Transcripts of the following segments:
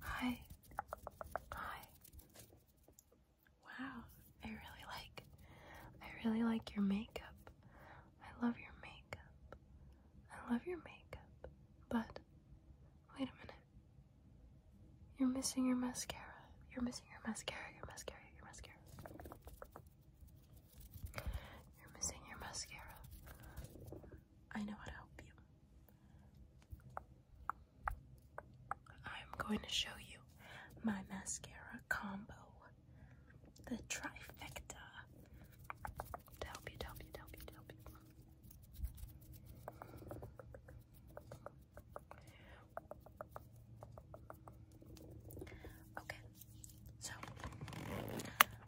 Hi. Hi. Wow, I really like I really like your makeup. I love your makeup. I love your makeup. But wait a minute. You're missing your mascara. You're missing your mascara. Your mascara. Your mascara. You're missing your mascara. I know how to help you. I'm going to show you my mascara combo, the trifecta, to help you, to help you, to help you, to help you. Okay, so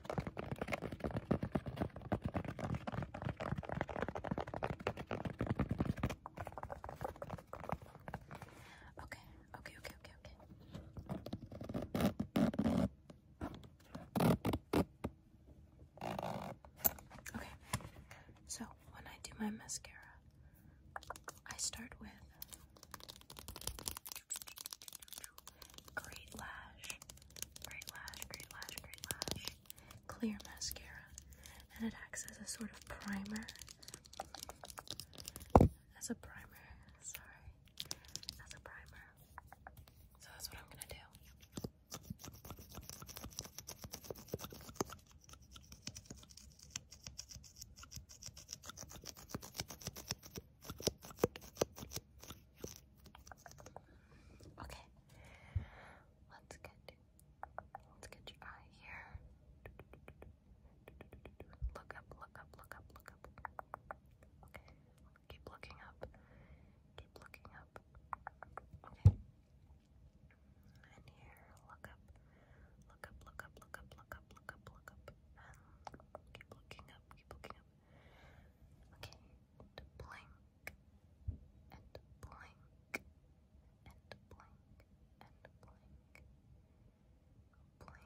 Okay, okay, okay, okay, okay. Okay, so when I do my mascara, I start with great lash Great Lash, Great Lash, Great Lash Clear Mascara. And it acts as a sort of primer. As a primer, sorry. As a primer. So that's what I'm gonna do. Okay. Let's get let's get your eye here. Look up, look up, look up, look up. Okay. Keep looking up. Keep looking up. Okay. And here, look up. Look up, look up, look up, look up, look up, look up. keep looking up, keep looking up and blink and blink and blink blink blink blink blink blink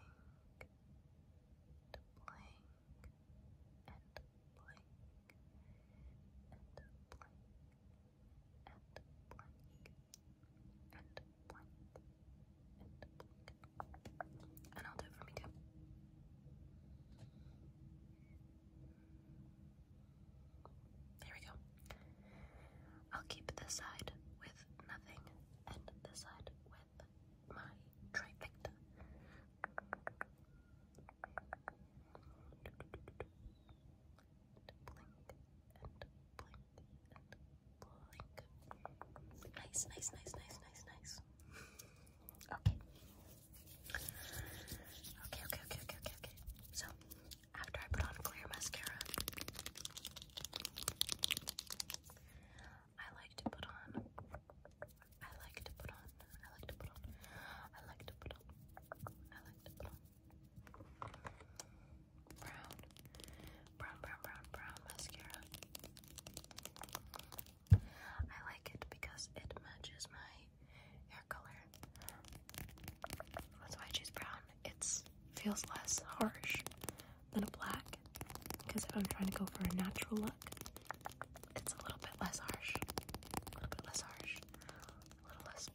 blink blink blink and I'll do it for me too. There we go. I'll keep this side with nothing and this side with my trifecta. Blink and blink and blink. Nice, nice, nice, nice, nice, nice. Okay. Okay, okay, okay, okay, okay, So, after I put on clear mascara, I like to put on, I like to put on, I like to put on, I like to put on, I like to put on brown, brown, brown, brown, brown mascara. I like it because it matches my hair color. That's why I choose brown. It feels less harsh than a black because if I'm trying to go for a natural look, it's a little bit less harsh. A little bit less harsh. A little less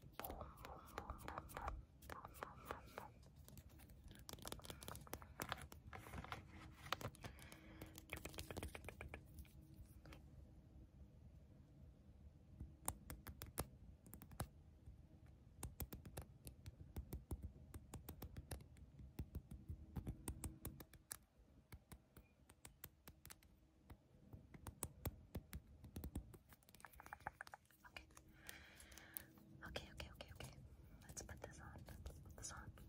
Okay, okay, okay, okay. Let's put this on. Let's put this on.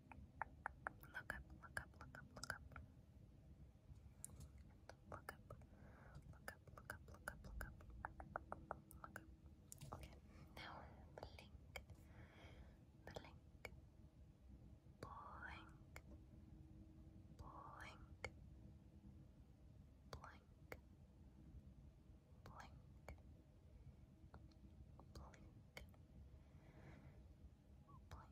Look up, look up, look up, look up. Look up, look up, look up, look up, look up. Okay, now the link. The link. Blink, blink, blink, blink, blink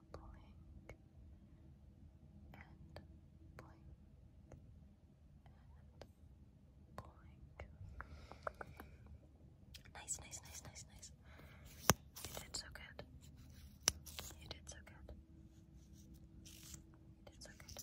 blink and blink and blink. Nice, nice, nice, nice, nice. You did so good. You did so good. You did so good.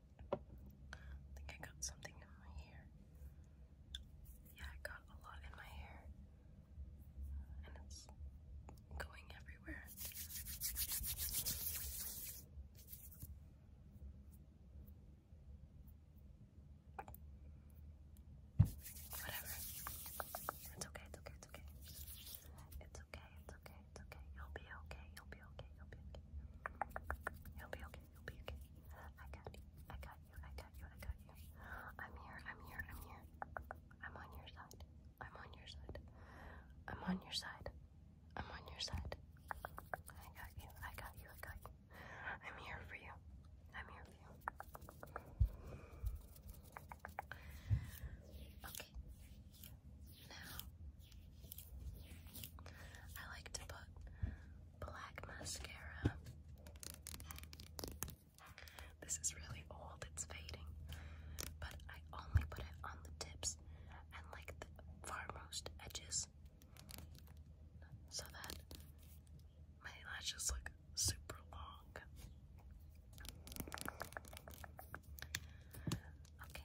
I think I got something in my hair. Yeah, I got a lot in my hair. And it's going everywhere. Whatever. It's okay, it's okay, it's okay. It's okay, it's okay, it's okay. You'll be okay, you'll be okay, you'll be okay. You'll be okay you'll be okay. I got you, I got you, I got you, I got you. I'm here, I'm here, I'm here. I'm on your side. I'm on your side. I'm on your side. I'm on your side. I got you, I got you, I got you. I'm here for you. I'm here for you. Okay. Now I like to put black mascara. This is really old, it's fading, but I only put it on the tips and like the farmost edges so that my lashes look super long. Okay.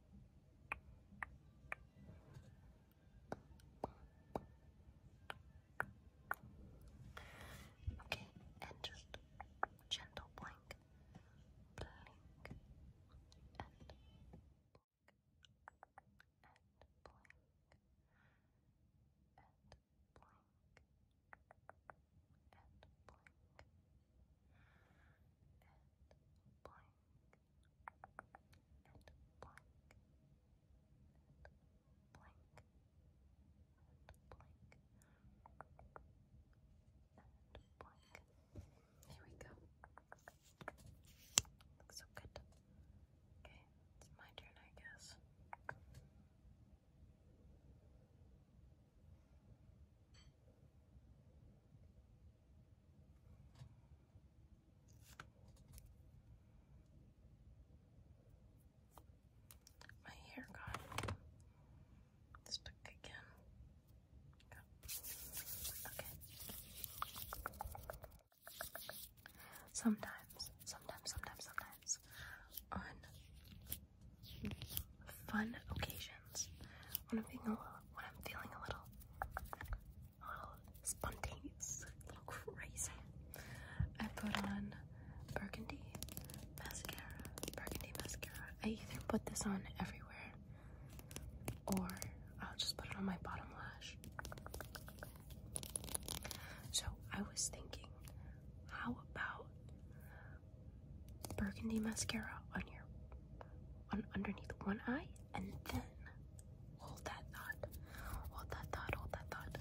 Okay, and just gentle blink, blink, and blink, and blink, and blink. And blink and blank, Here we go. Looks so good. Okay, it's my turn, I guess. My hair got stuck again. Okay. Sometimes, sometimes, sometimes, sometimes, on fun occasions, when I'm feeling a little, a little, spontaneous, crazy. I put on burgundy mascara, burgundy mascara. I either put this on everywhere, or I'll just put it on my bottom lash. So I was thinking, how about burgundy mascara on your underneath one eye, and then hold that thought. Hold that thought, hold that thought.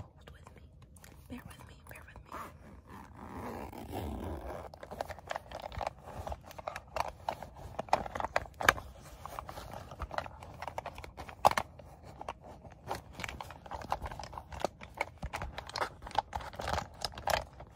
Hold with me. Bear with me, bear with me.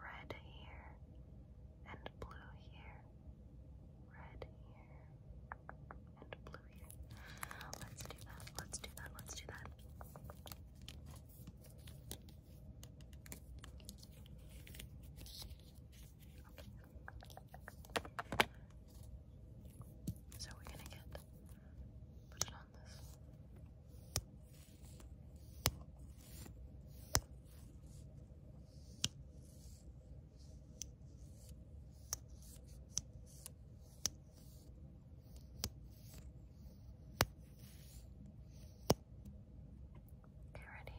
Red here and blue here. Red here and blue here. Let's do that. Let's do that. Let's do that. Okay. So we're gonna get put it on on this. Okay, ready?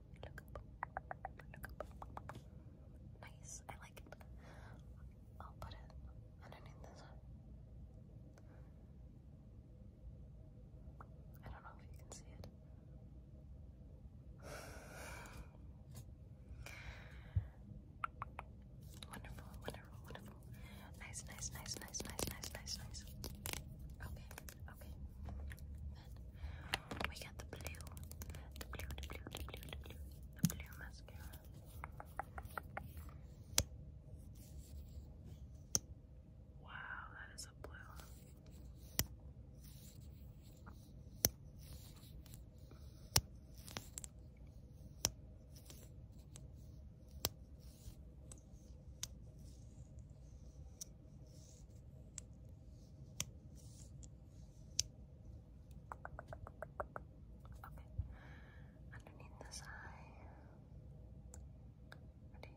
Nice. I like it. I'll put it underneath this one. I don't know if you can see it. wonderful, wonderful, wonderful. Nice, nice, nice, nice, nice, nice, nice, nice. Okay, okay. Then we got the blue, the blue, the blue, the blue, the blue, the blue mascara. Wow, that is a blue. Okay. Underneath this eye. Ready?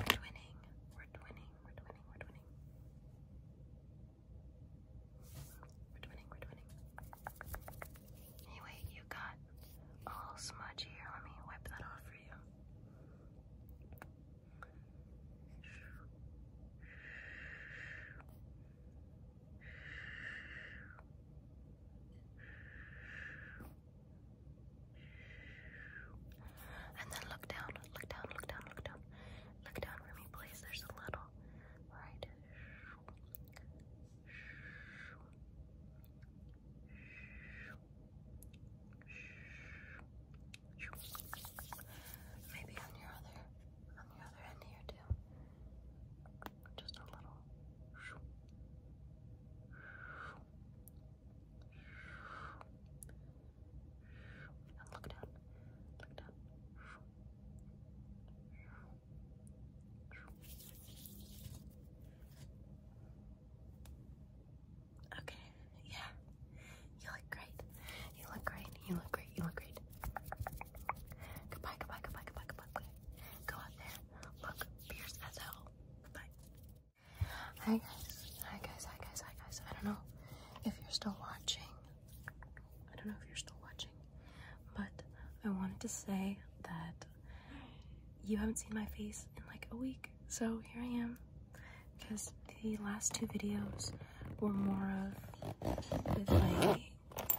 Okay, okay, okay, okay. Now we're twinning. We're twinning. We're twinning. We're twinning. We're twinning. We're twinning. Anyway, you got a little smudge here. Let me wipe that off for you. And then look down, look down, look down, look down. Look down for me, please. There's a little. Right. Maybe on your other on the other end here too. Just a little look down. Look down. Okay, yeah. You look great. You look great. You look great. You look great. Goodbye, goodbye, goodbye, goodbye, goodbye. Go out there. Hi guys. Hi guys. Hi guys. Hi guys. I don't know if you're still watching. I don't know if you're still watching, but I wanted to say that you haven't seen my face in like a week. So here I am because the last two videos were more of with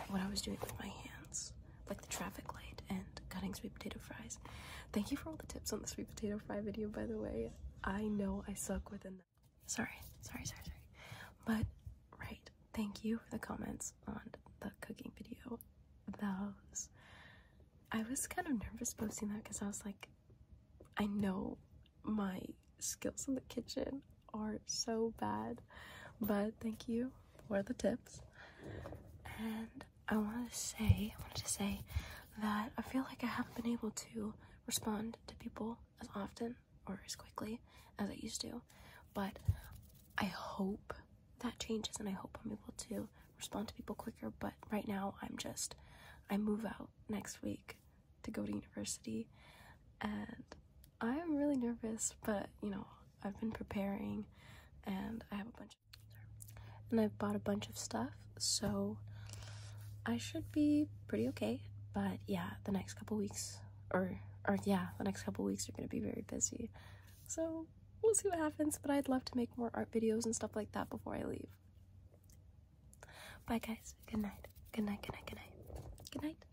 what I was doing with my hands like the traffic light and cutting sweet potato fries. Thank you for all the tips on the sweet potato fry video, by the way. I know I suck with them. Sorry, sorry, sorry, sorry. But, right, thank you for the comments on the cooking video. Those. I was kind of nervous posting that because I was like, I know my skills in the kitchen are so bad, but thank you were the tips. And I wanted to say, I wanted to say that I feel like I haven't been able to respond to people as often or as quickly as I used to, but I hope that changes and I hope I'm able to respond to people quicker. But right now, I'm just, I move out next week to go to university and I'm really nervous, but you know, I've been preparing and I have a bunch of and I've bought a bunch of stuff, so I should be pretty okay. But yeah, the next couple weeks or or yeah, the next couple weeks are going to be very busy. So, we'll see what happens, but I'd love to make more art videos and stuff like that before I leave. Bye guys. Good night. Good night. Good night. Good night. Good night.